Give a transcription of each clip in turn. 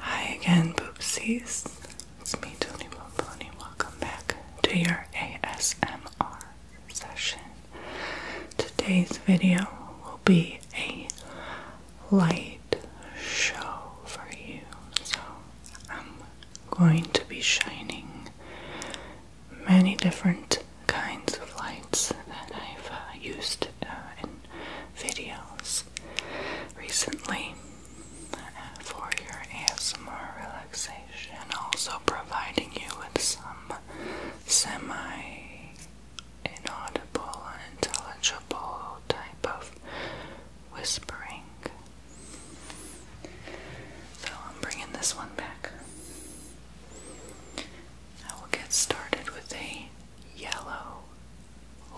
Hi again, poopsies. It's me, Tony Pomponi. Welcome back to your ASMR session. Today's video will be a light show for you. So I'm going to be shining many different kinds of lights that I've uh, used uh, videos recently uh, for your ASMR relaxation, also providing you with some semi inaudible, unintelligible type of whispering. So I'm bringing this one back. I will get started with a yellow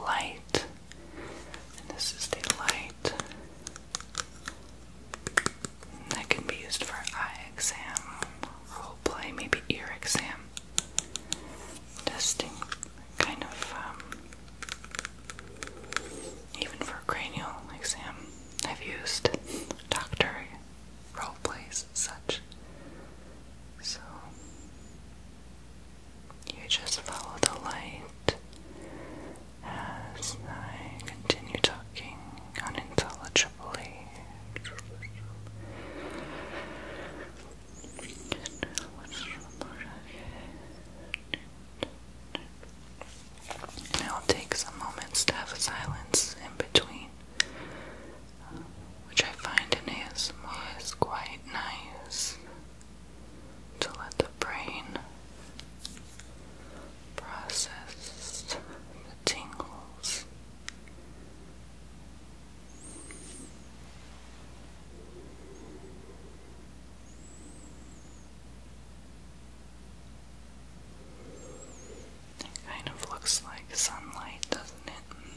light. And this is the light that can be used for eye exam, role play, maybe ear exam, testing, kind of, um, even for cranial exam. I've used doctor role plays, such. So, you just follow the light as I continue talking unintelligibly. Now take some moments to have silence in between, which I find in is quite nice to let the brain process the tingles. It kind of looks like sunlight, doesn't it?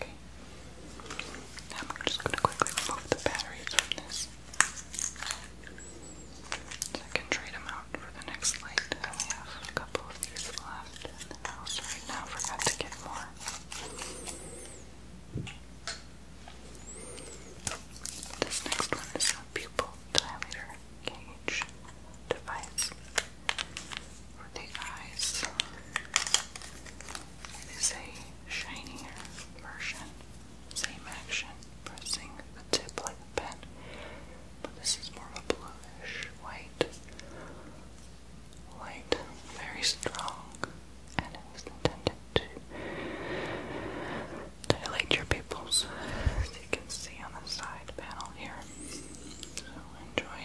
Okay. I'm just going to quickly remove the batteries from this. I can trade them out for the next light. I only have a couple of these left in the house right now. Forgot to get more. This next one is a pupil dilator cage device for the eyes. It is a shinier version, same action, pressing the tip like a pen, but this is more of a bluish white light, very strong, and it was intended to dilate your pupils, as you can see on the side panel here. So enjoy.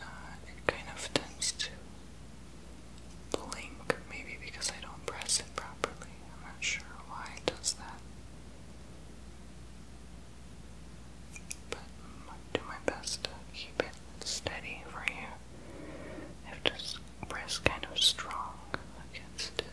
Uh, it kind of tends to blink, maybe because I don't press it properly. I'm not sure why it does that. But I'll do my best to keep it steady for you. i just press kind of strong against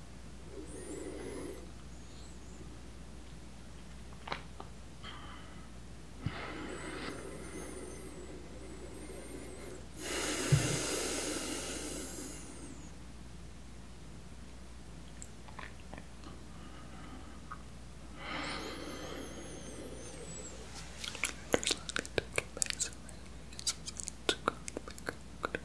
There's a lot of to get back to, right? It's, it's, it's, it's, it's, it's, it's, it's,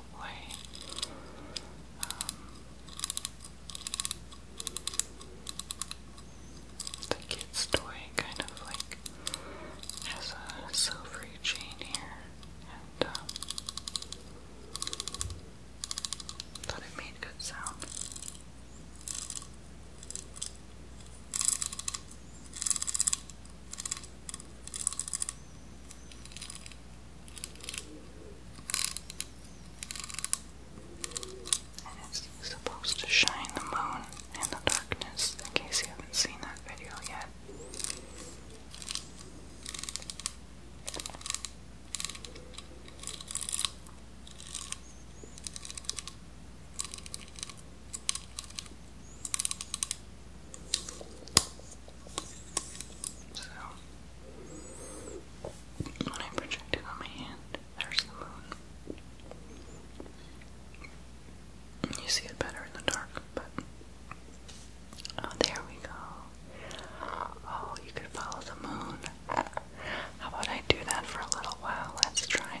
role um, the kid's toy kind of like has a silvery chain here, and um, thought it made good sound. And it's supposed to shine the moon in the darkness, in case you haven't seen that video yet. So, when I project it on my hand, there's the moon. You see it better in the dark, but. Oh, there we go. Oh, you could follow the moon. How about I do that for a little while? Let's try.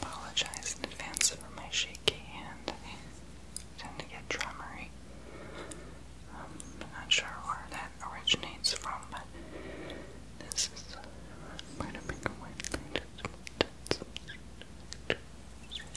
Apologize in advance for my shaky hand. tend to get tremorly. Um, I'm not sure where that originates from, but this is quite a one. Just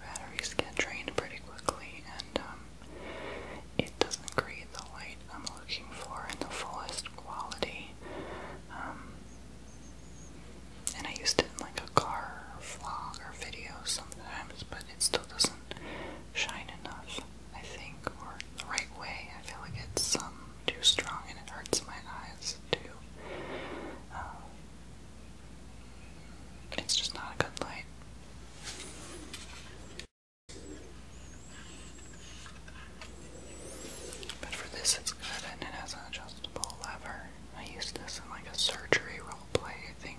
batteries get drained pretty quickly and um, it doesn't create the light I'm looking for in the fullest quality. Um, and I used it in like a car vlog or video sometimes, but it still doesn't shine enough, I think, or the right way. I feel like it's um, too strong and it hurts my eyes too. Uh, it's just not a good light. But for this, it's good, and it has an adjustable lever. I used this in like a surgery role play, I think.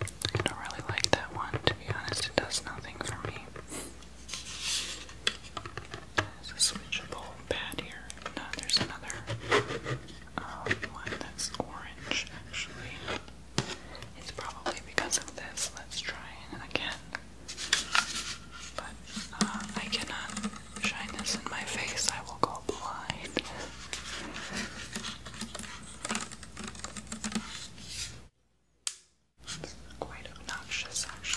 I don't really like that one, to be honest. It does nothing for me. There's a switchable pad here. No, there's another um, one that's orange, actually. It's probably because of this. Let's try it again. But uh, I cannot shine this in my face. I will go blind. It's quite obnoxious, actually.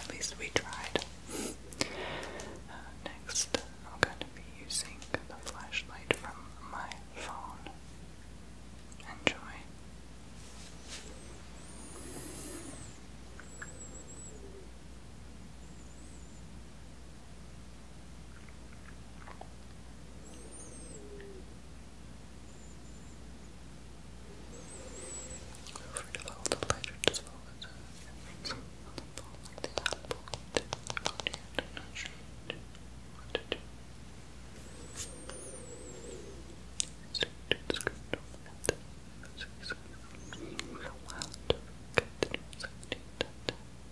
At least we tried. Uh, next, I'm going to be using the flashlight from my phone. Enjoy. Afraid of all the pleasure to swallow the on the bone like the apple. Oh dear, I'm not sure what to do. Wow,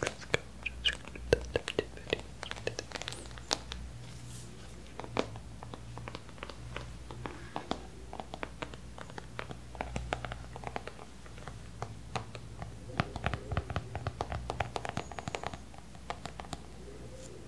Let's go just that activity. Okay.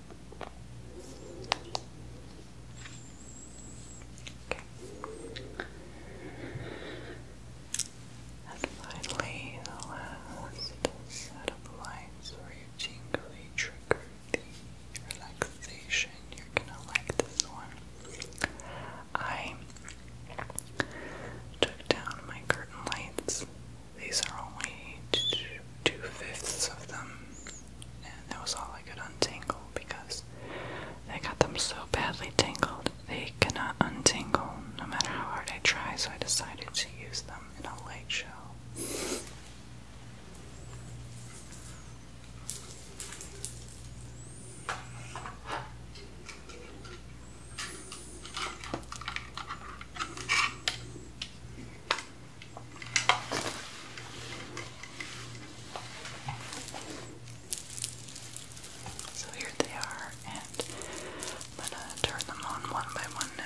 Okay. And finally, the last set of lines where you jingly trigger the relaxation. You're gonna like this one. I took down my curtain lights. These are only two fifths of them and that was all I could untangle because I got them so badly tangled they cannot untangle no matter how hard I try, so I decided to use them in a light show. So here they are, and I'm gonna turn them on one by one now.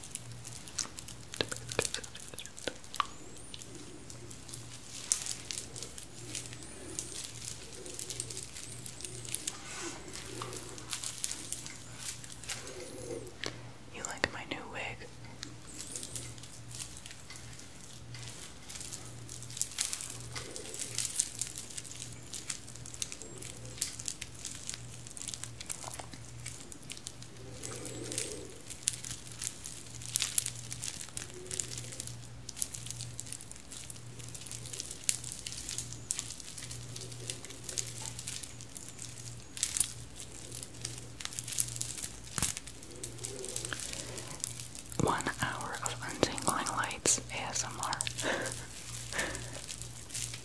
You like my new wig? One hour of untangling lights ASMR.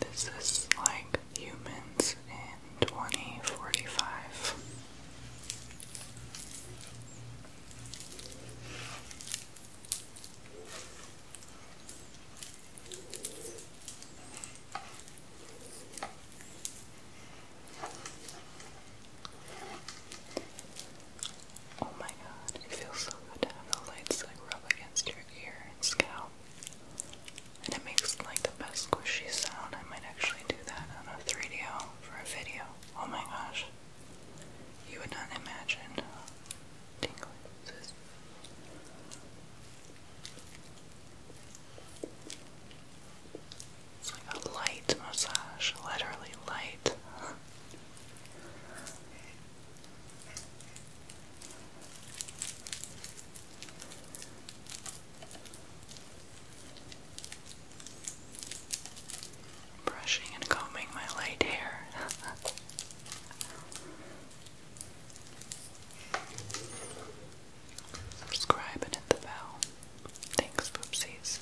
This is like humans in 2045. Oh my god, it feels so good to have the lights like rub against your ear and scalp. And it makes like the best squishy sound. I might actually do that on a 3 D for a video. Oh my gosh. You would not imagine tingling It's like a light massage, literally light. Brushing and combing my light hair. Subscribe and hit the bell. Thanks, poopsies.